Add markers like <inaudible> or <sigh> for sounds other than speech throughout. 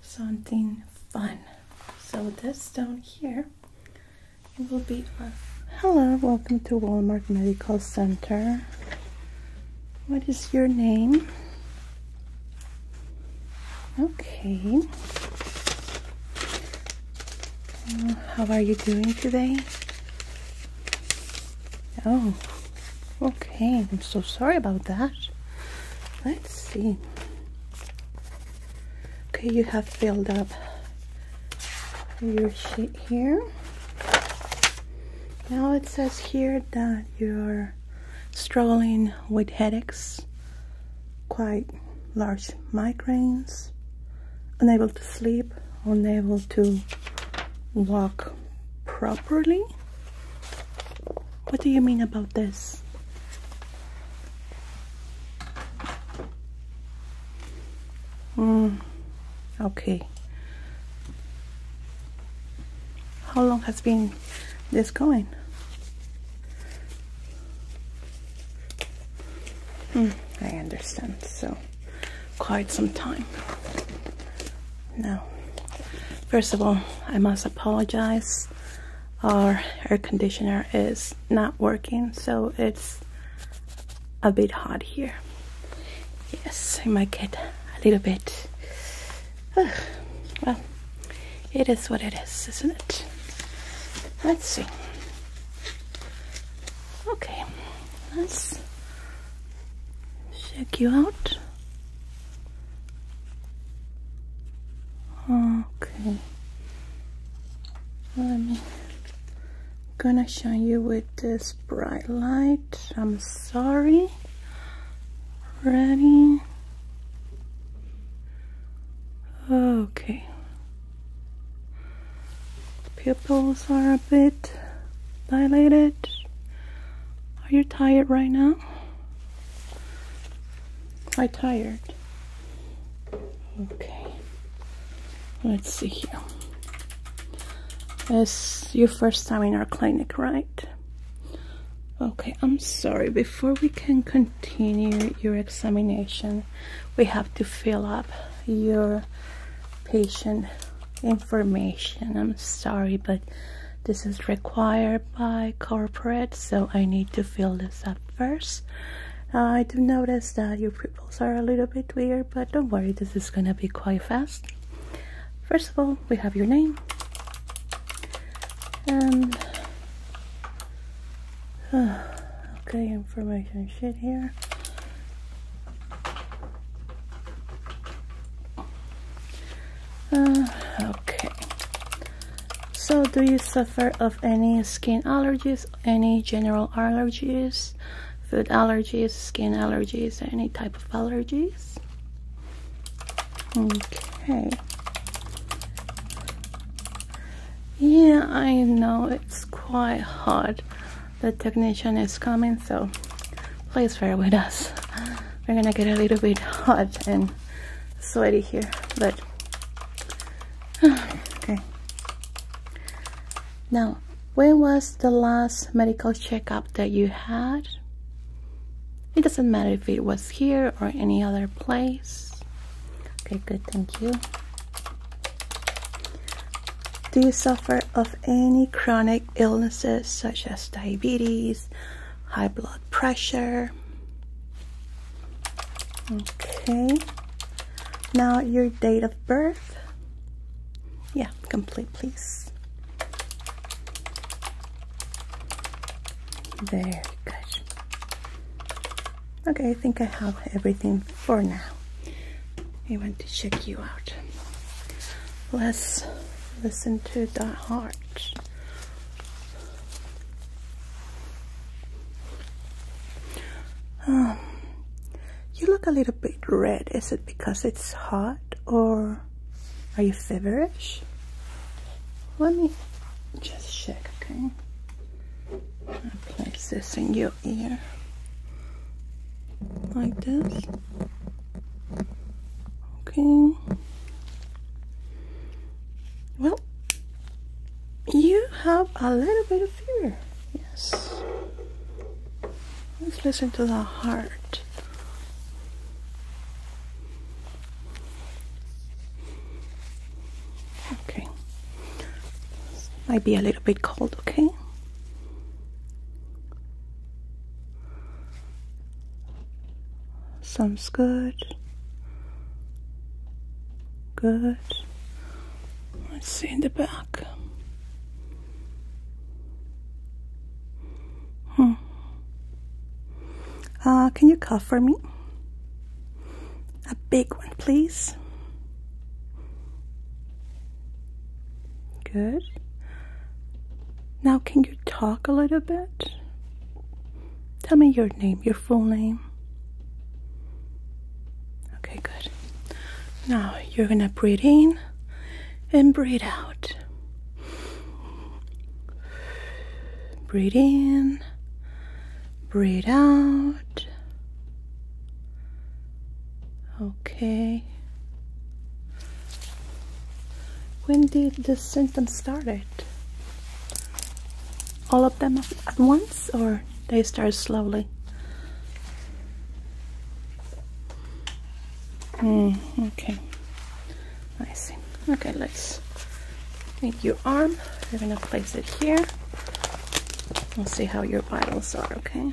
something fun. So this down here, will be a hello, welcome to Walmart Medical Center. What is your name? Okay. how are you doing today? Oh, okay. I'm so sorry about that. Let's see okay you have filled up your sheet here now it says here that you're struggling with headaches quite large migraines unable to sleep unable to walk properly what do you mean about this? Mm, okay. How long has been this going? Mm, I understand. So, quite some time. Now, first of all, I must apologize our air conditioner is not working so it's a bit hot here yes I might get a little bit well it is what it is isn't it let's see okay let's check you out okay let me gonna show you with this bright light I'm sorry ready okay pupils are a bit dilated are you tired right now quite tired. Okay, let's see here. This your first time in our clinic, right? Okay, I'm sorry. Before we can continue your examination, we have to fill up your patient information. I'm sorry, but this is required by corporate, so I need to fill this up first. I do notice that your pupils are a little bit weird, but don't worry, this is gonna be quite fast. First of all, we have your name. And <sighs> okay, information shit here. Uh, okay, so do you suffer of any skin allergies, any general allergies, food allergies, skin allergies, any type of allergies? Okay. Yeah, I know it's quite hot. The technician is coming, so please bear with us. We're gonna get a little bit hot and sweaty here, but <sighs> okay. Now, when was the last medical checkup that you had? It doesn't matter if it was here or any other place. Okay, good, thank you. Do you suffer of any chronic illnesses such as diabetes, high blood pressure? Okay. Now your date of birth. Yeah, complete please. Very good. Okay, I think I have everything for now. I want to check you out. Let's listen to the heart. Um, you look a little bit red. Is it because it's hot or are you feverish? Let me just check, okay? I place this in your ear like this. Okay. Well, you have a little bit of fear. Yes. Let's listen to the heart. Okay. This might be a little bit cold, okay? Sounds good. Good. Let's see in the back. Hmm. Uh, can you cough for me? A big one, please. Good. Now, can you talk a little bit? Tell me your name, your full name. Okay, good. Now you're gonna breathe in and breathe out. Breathe in, breathe out. Okay. When did the symptoms started? all of them at once or they start slowly? Mm, okay, I see. Okay, let's take your arm. We're gonna place it here. We'll see how your vitals are, okay?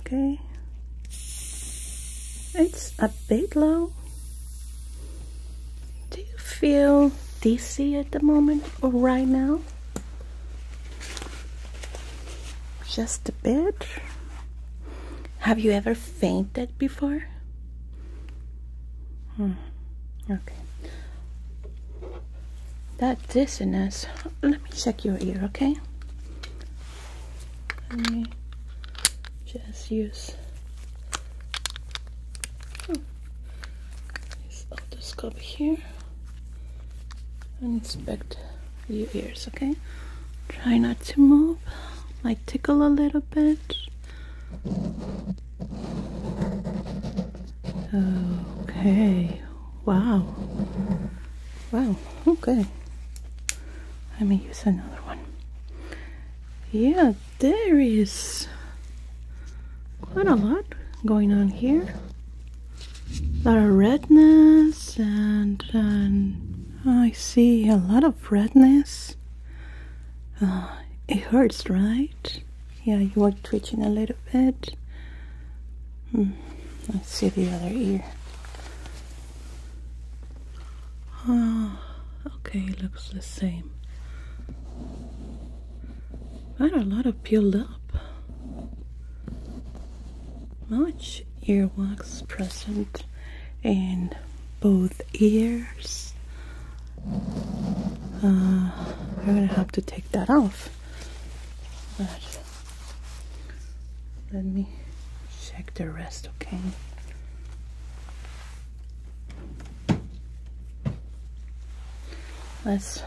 okay it's a bit low do you feel dizzy at the moment or right now just a bit have you ever fainted before hmm. okay that dizziness let me check your ear okay let me just use oh, this otoscope here and inspect your ears, okay? Try not to move. Might tickle a little bit. Okay. Wow. Wow. Okay let me use another one yeah there is quite a lot going on here a lot of redness and, oh, I see a lot of redness uh, it hurts right yeah you are twitching a little bit hmm. let's see the other ear Ah, okay, looks the same. Not a lot of peeled up. Much earwax present in both ears. Uh, I'm gonna have to take that off. Let me check the rest, okay? Let's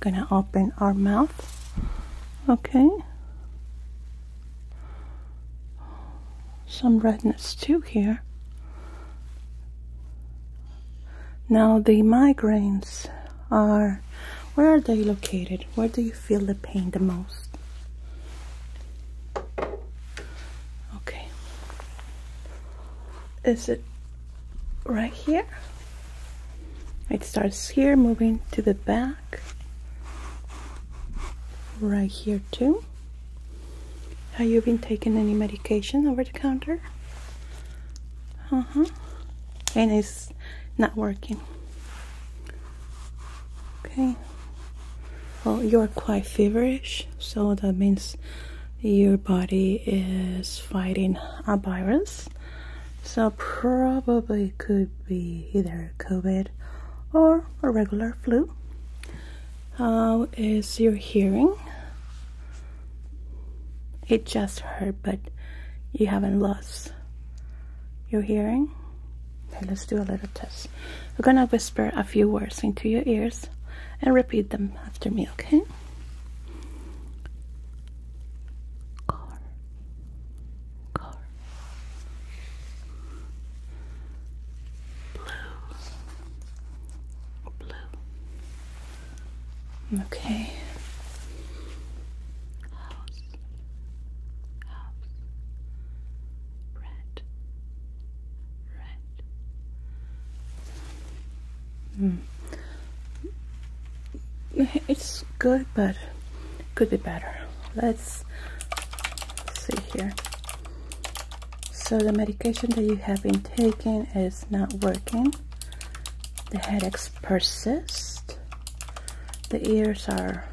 gonna open our mouth, okay? Some redness too here. Now the migraines are, where are they located? Where do you you feel the pain the most? Okay. Is it right here? It starts here, moving to the back. Right here too. Have you been taking any medication over the counter? Uh-huh. And it's not working. Okay. Well, you're quite feverish, so that means your body is fighting a virus. So probably could be either COVID or a regular flu. How is your hearing? It just hurt, but you haven't lost your hearing. Okay, let's do a little test. We're gonna whisper a few words into your ears and repeat them after me, okay? Car. Car. Blue. Blue. Okay. House house, red, red. Mm. It's good, but could be better. Let's see here. So the medication that you have been taking is not working. The headaches persist. The ears are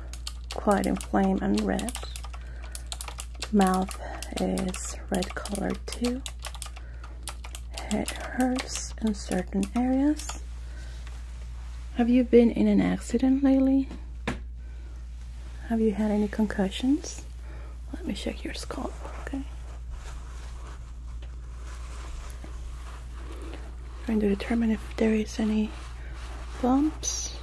quite inflamed and red. Mouth is red colored too. Head hurts in certain areas. Have you been in an accident lately? Have you had any concussions? Let me check your scalp, okay? trying to determine if there is any bumps.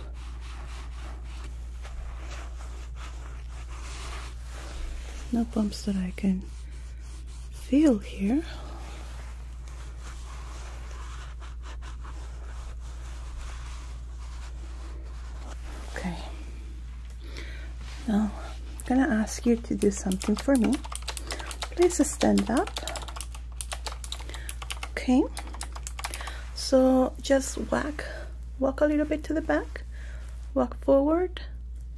No bumps that I can feel here. Okay. Now, I'm gonna ask you to do something for me. Please stand up okay so just walk, walk a little bit to the back walk forward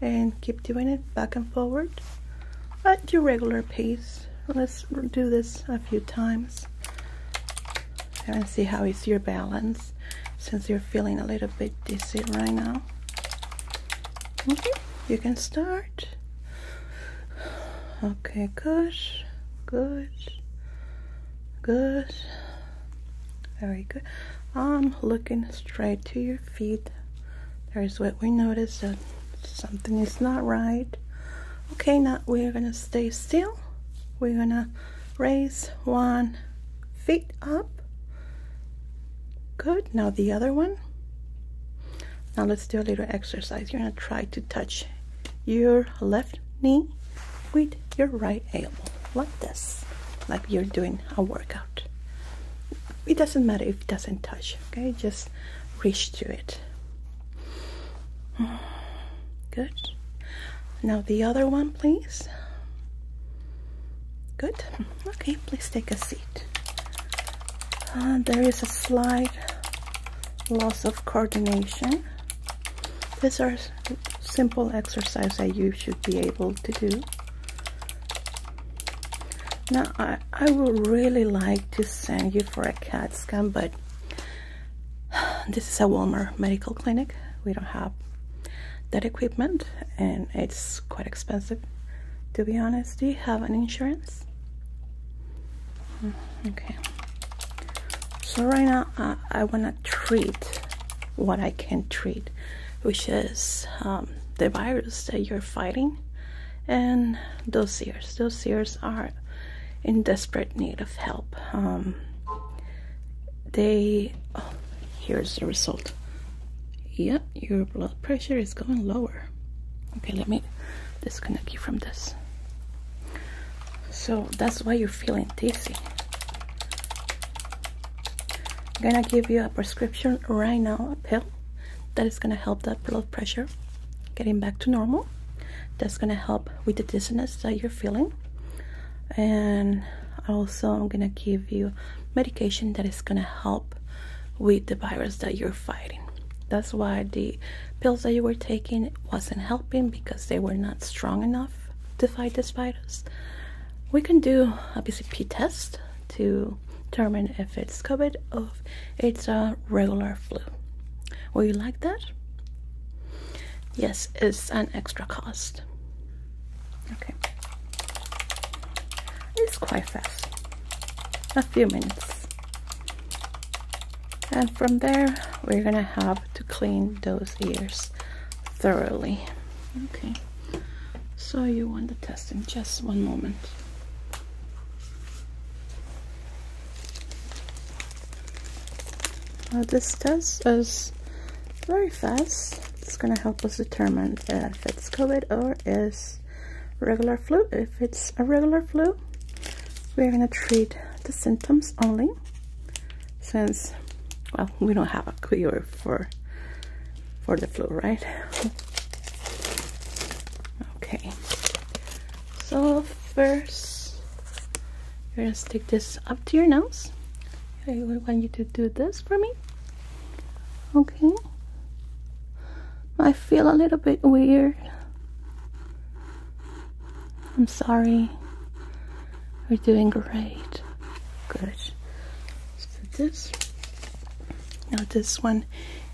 and keep doing it back and forward at your regular pace let's do this a few times and see how is your balance since you're feeling a little bit dizzy right now okay you can start Okay, good, good, good, very good. I'm looking straight to your feet. There is what we noticed that something is not right. Okay, now we're gonna stay still. We're gonna raise one feet up. Good, now the other one. Now let's do a little exercise. You're gonna try to touch your left knee with your right elbow, like this, like you're doing a workout. It doesn't matter if it doesn't touch, okay? Just reach to it. Good. Now the other one, please. Good. Okay, please take a seat. Uh, there is a slide loss of coordination. These are simple exercise that you should be able to do. Now, I, I would really like to send you for a CAT scan, but <sighs> this is a warmer medical clinic. We don't have that equipment, and it's quite expensive, to be honest. Do you have an insurance? Mm, okay. So right now, uh, I wanna treat what I can treat, which is um, the virus that you're fighting, and those ears. Those ears are in desperate need of help. Um, they. Oh, here's the result. Yep, your blood pressure is going lower. Okay, let me disconnect you from this. So that's why you're feeling dizzy. I'm gonna give you a prescription right now, a pill that is gonna help that blood pressure getting back to normal. That's gonna help with the dizziness that you're feeling. And also I'm gonna give you medication that is gonna help with the virus that you're fighting. That's why the pills that you were taking wasn't helping because they were not strong enough to fight the spiders. We can do a BCP test to determine if it's COVID or if it's a regular flu. Will you like that? Yes, it's an extra cost. Okay. It's quite fast. A few minutes and from there we're gonna have to clean those ears thoroughly okay so you want the in just one moment uh, this test is very fast it's gonna help us determine if it's COVID or is regular flu if it's a regular flu we're gonna treat the symptoms only since well we don't have a cure for for the flu right okay so first you're gonna stick this up to your nose I would want you to do this for me okay I feel a little bit weird I'm sorry. we are doing great. Good. Let's put this. Now this one,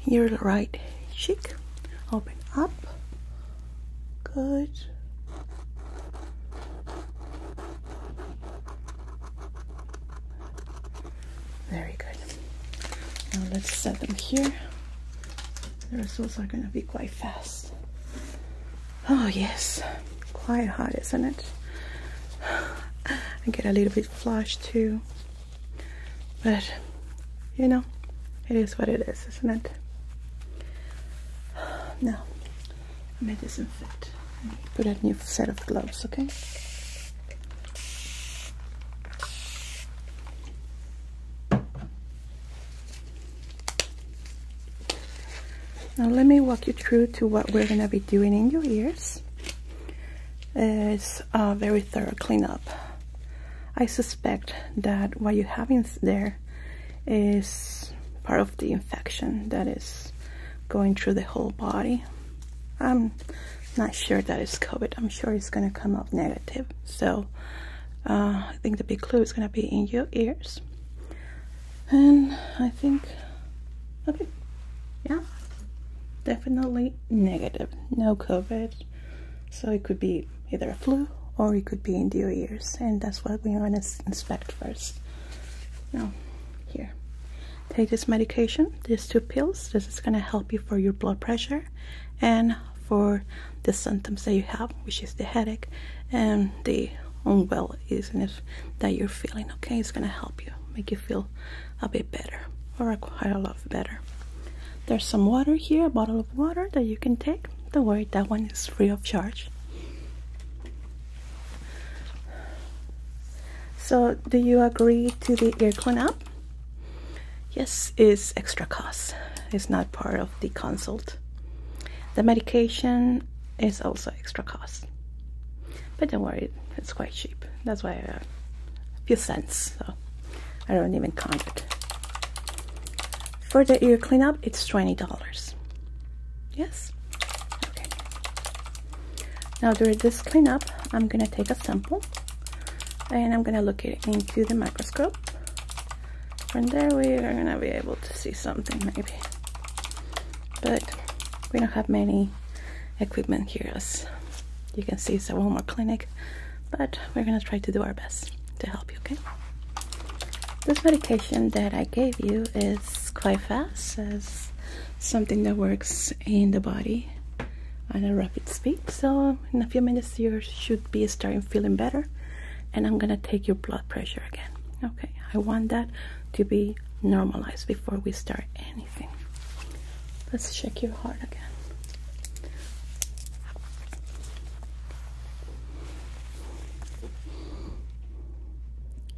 your right cheek. Open up. Good. Very good. Now let's set them here. The results are going to be quite fast. Oh, yes. Quite hot, isn't it? I get a little bit flushed too. But, you know, it is what it is, isn't it? Now, let me disinfect. Put a new set of gloves, okay? Now let me walk you through to what we're going to be doing in your ears. It's a very thorough cleanup. I suspect that what you have in there is part of the infection that is going through the whole body. I'm not sure that it's COVID. I'm sure it's going to come up negative. So uh, I think the big clue is gonna be in your ears and I think okay yeah definitely negative no COVID so it could be either a flu or it could be in your ears and that's what we want to inspect first now here take this medication these two pills this is gonna help you for your blood pressure and for the symptoms that you have, which is the headache and the unwell-isness that you're feeling. Okay, it's gonna help you make you feel a bit better or quite a lot better. There's some water here, a bottle of water that you can take. Don't worry, that one is free of charge. So, do you agree to the ear up? Yes, it's extra cost. It's not part of the consult. The medication is also extra cost, but don't worry, it's quite cheap. That's why a few cents, so I don't even count it. For the ear cleanup, it's twenty dollars. Yes. Okay. Now during this cleanup, I'm gonna take a sample, and I'm gonna look it into the microscope. From there we are gonna be able to see something maybe. But we don't have many equipment here as you can see it's a Walmart clinic. But we're gonna try to do our best to help you, okay? This medication that I gave you is quite fast. It's something that works in the body at a rapid speed. So in a few minutes you should be starting feeling better and I'm gonna take your blood pressure again. Okay, I want that to be normalized before we start anything. Let's check your heart again.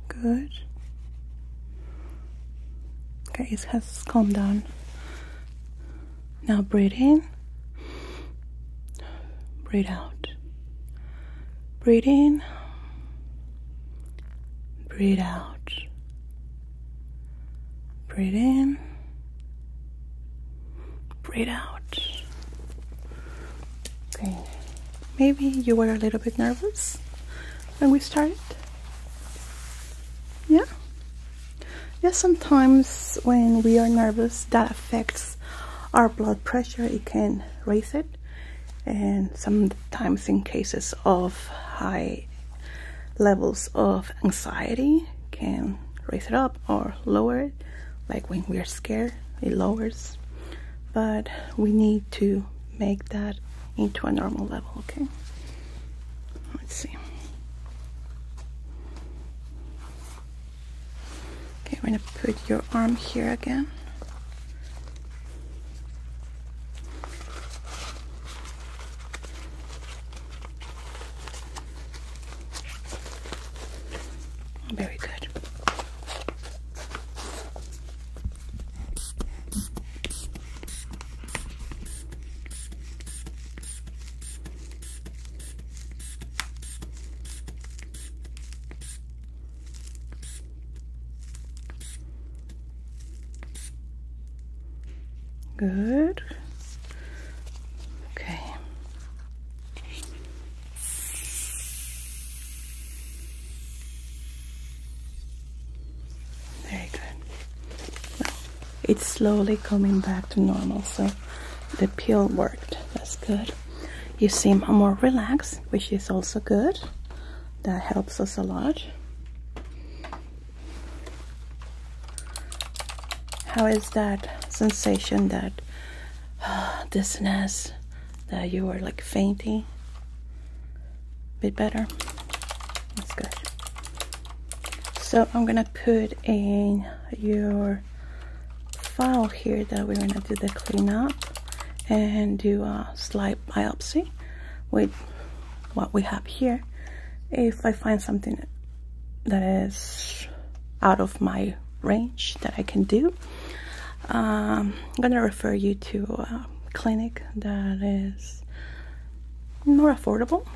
Good. Okay, it has calmed down. Now breathe in, breathe out, breathe in, breathe out, breathe in, breathe out. Okay, maybe you were a little bit nervous when we started. Yeah? Yeah, sometimes when we are nervous, that affects our blood pressure it can raise it and sometimes in cases of high levels of anxiety can raise it up or lower it like when we are scared it lowers but we need to make that into a normal level okay let's see Okay, we're gonna put your arm here again. Very good. Good. Okay. Very good. it's slowly coming back to normal, so the pill worked. That's good. You seem more relaxed, which is also good. That helps us a lot. How is that sensation, that uh, <sighs> dizziness, that you are like fainting? Bit better? That's good. So I'm gonna put in your file here that we're going to do the clean up and do a slide biopsy with what we have here if I find something that is out of my range that I can do um, I'm gonna refer you to a clinic that is more affordable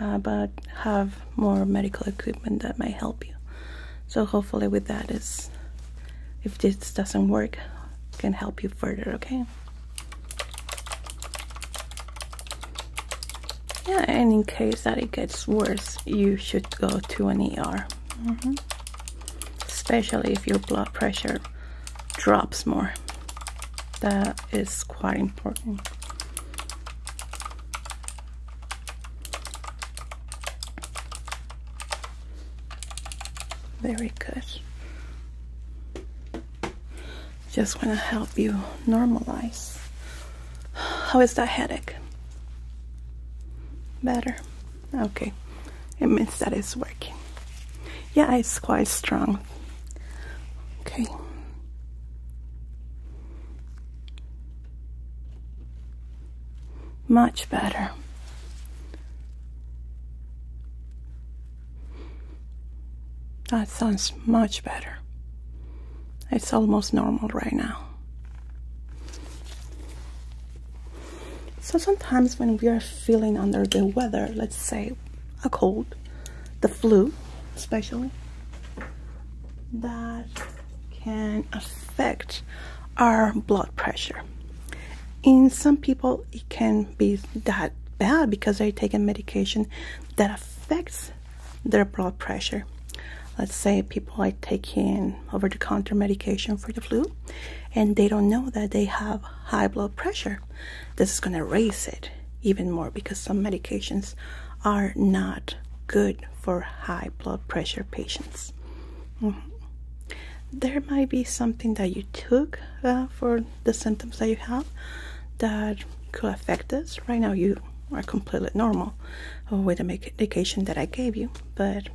uh, but have more medical equipment that might help you so hopefully with that is if this doesn't work can help you further okay yeah and in case that it gets worse you should go to an ER especially if your blood pressure drops more that is quite important very good. Just want to help you normalize. How is that headache? Better? Okay. It means that it's working. Yeah, it's quite strong. Okay. Much better. That sounds much better. It's almost normal right now. So sometimes when we are feeling under the weather, let's say a cold, the flu especially, that can affect our blood pressure. In some people, it can be that bad because they're taking medication that affects their blood pressure. Let's say people are taking over the counter medication for the flu and they don't know that they have high blood pressure. This is going to raise it even more because some medications are not good for high blood pressure patients. Mm-hmm. there might be something that you took uh, for the symptoms that you have that could affect this right now you are completely normal with the medication that i gave you but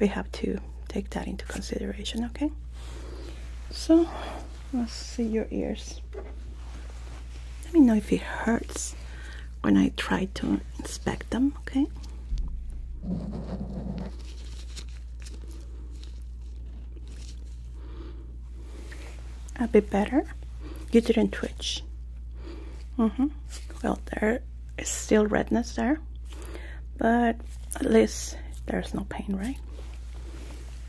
we have to take that into consideration okay so let's see your ears let me know if it hurts when I try to inspect them, okay? A bit better. You didn't twitch. Mm-hmm. Well, there is still redness there, but at least there's no pain, right?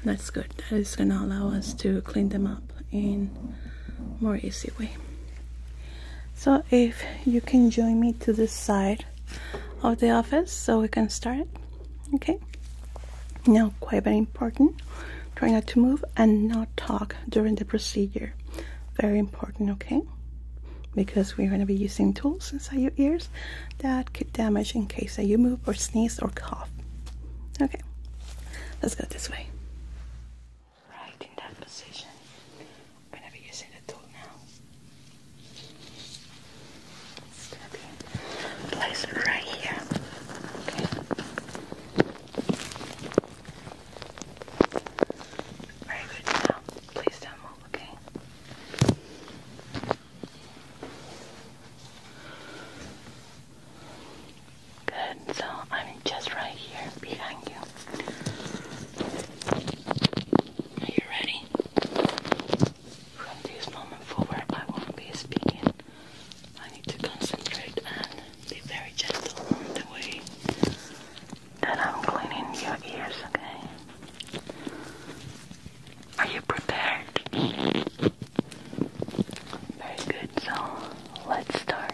That's good. That is gonna allow us to clean them up in more easy way so if you can join me to this side of the office so we can start okay now quite very important try not to move and not talk during the procedure very important okay because we're going to be using tools inside your ears that could damage in case that you move or sneeze or cough okay let's go this way right in that position. I'm gonna be using the tool now. It's going right here. Okay. Very good. Now, please don't okay? Good. So I'm just right here behind you. Are you ready? From this moment forward, I won't be speaking. I need to concentrate and be very gentle on the way that I'm cleaning your ears, okay? Are you prepared? Very good, so let's start.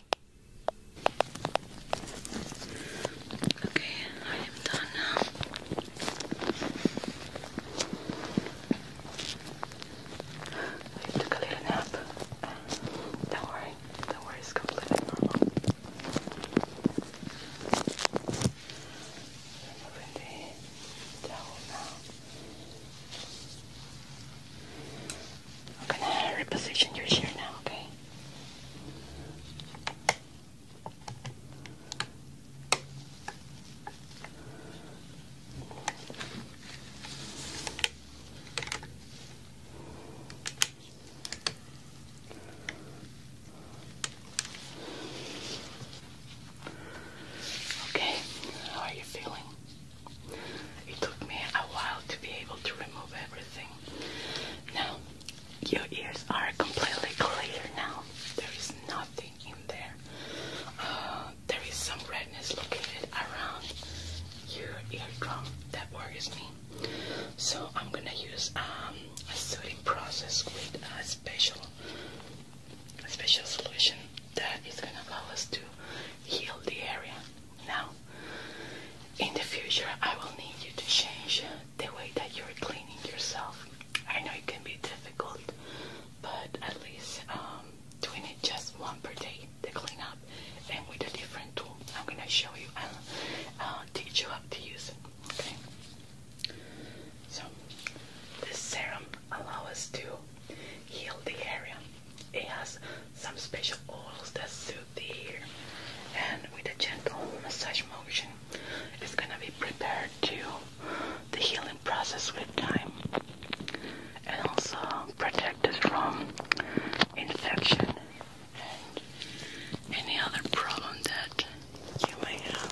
Okay, I am done now. I took a little nap. Don't worry, do worry, it's completely normal. Removing the towel now. I'm gonna reposition your chair now, okay? Okay, how are you feeling? It took me a while to be able to remove everything. Now, your ears are completely clear now. There is nothing in there. Uh, there is some redness located around your eardrum. That worries me. So I'm gonna use um, a soothing process with a special, a special solution that is gonna allow us to heal the area. Now, in the future I will need you to change the way that you're cleaning yourself. I know it can be difficult, but at least um, doing it just one per day, to clean up, and with a different tool. I'm gonna show you and uh, uh, teach you how to use it. Okay. So this serum allows us to heal the area. It has some special oils that and with a gentle massage motion. It's gonna be prepared to the healing process with time and also protect us from infection and any other problem that you may have.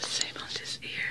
Same on this ear.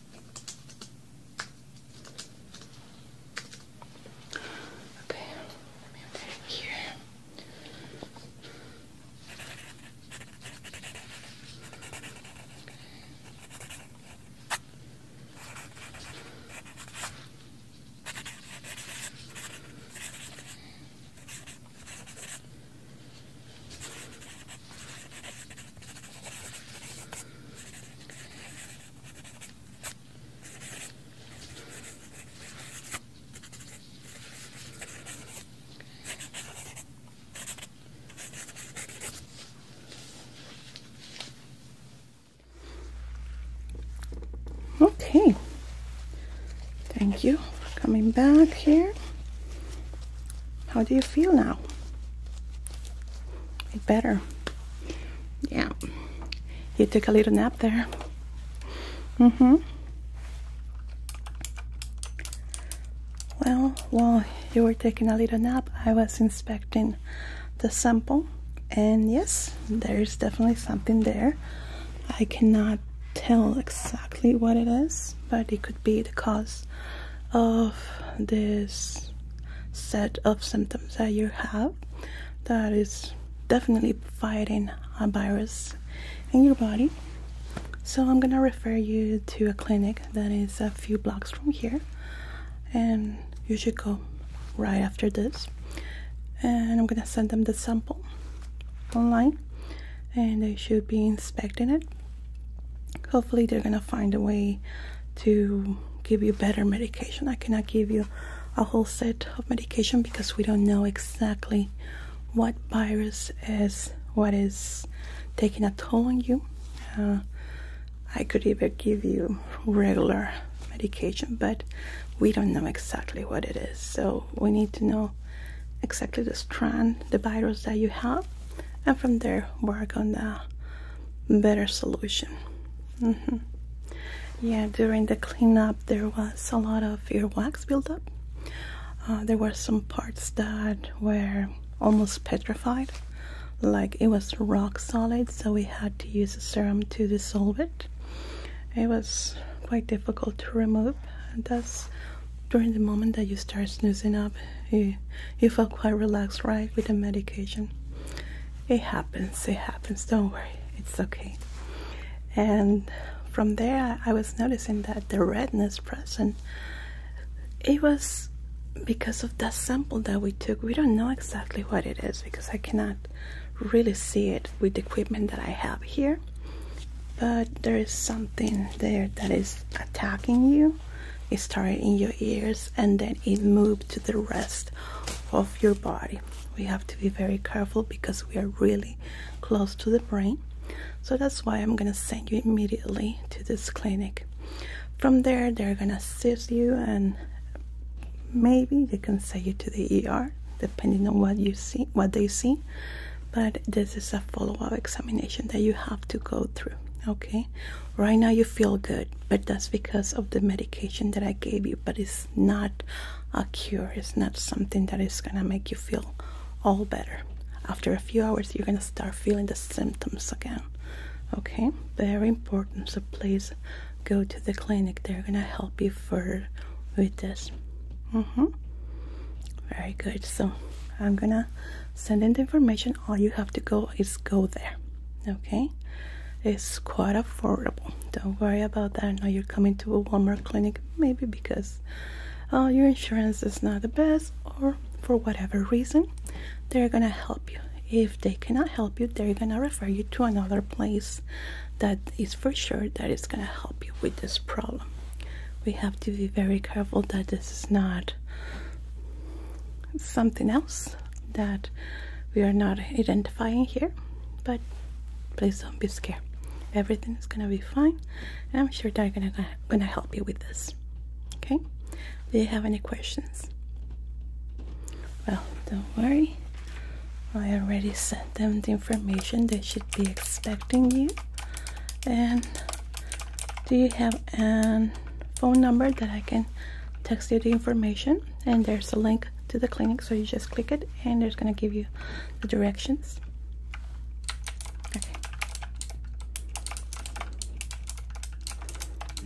Okay, let me put it here. Okay. Okay. Thank you coming back here. How do you feel now? It better. Yeah. You took a little nap there. Mm-hmm. Well, while you were taking a little nap, I was inspecting the sample. And yes, there is definitely something there. I cannot tell exactly what it is, but it could be the cause of this set of symptoms that you have that is definitely fighting a virus in your body. So, I'm gonna refer you to a clinic that is a few blocks from here, and you should go right after this. And I'm gonna send them the sample online, and they should be inspecting it hopefully they're gonna find a way to give you better medication i cannot give you a whole set of medication because we don't know exactly what virus is what is taking a toll on you uh, i could even give you regular medication but we don't know exactly what it is so we need to know exactly the strand the virus that you have and from there work on the better solution. Mm-hmm. Yeah, during the cleanup, there was a lot of earwax buildup. Uh, there were some parts that were almost petrified, like it was rock solid, so we had to use a serum to dissolve it. It was quite difficult to remove, and during the moment that you start snoozing up, you, you feel quite relaxed, right? With the medication. It happens, it happens, don't worry, it's okay. And from there, I was noticing that the redness present, it was because of that sample that we took. We don't know exactly what it is because I cannot really see it with the equipment that I have here. But there is something there that is attacking you it started in your ears and then it moved to the rest of your body we have to be very careful because we are really close to the brain so that's why i'm gonna send you immediately to this clinic from there they're gonna assist you and maybe they can send you to the er depending on what you see what they see but this is a follow-up examination that you have to go through Okay, right now you feel good, but that's because of the medication that I gave you. But it's not a cure, it's not something that is gonna make you feel all better. After a few hours, you're gonna start feeling the symptoms again. Okay, very important. So please go to the clinic, they're gonna help you further with this. Mm hmm. Very good. So I'm gonna send in the information all you have to go is go there. Okay, it's quite affordable. Don't worry about that. Now you're coming to a Walmart clinic, maybe because uh, your insurance is not the best, or for whatever reason, they're gonna help you. If they cannot help you, they're gonna refer you to another place that is for sure that is gonna help you with this problem. We have to be very careful that this is not something else that we are not identifying here but please don't be scared everything is gonna be fine i'm sure they're gonna gonna help you with this okay do you have any questions well don't worry i already sent them the information they should be expecting you and do you have a phone number that I can text you the information and there's a link to the clinic so you just click it and it's gonna give you the directions okay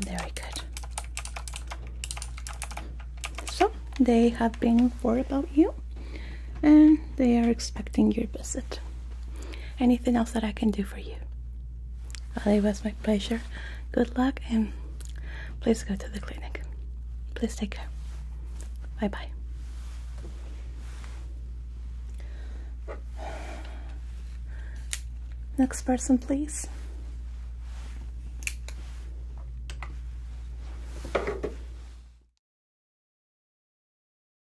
very good so they have been worried about you and they are expecting your visit anything else that I can do for you it was my pleasure. Good luck and please go to the clinic. Please take care. Bye bye. Next person, please.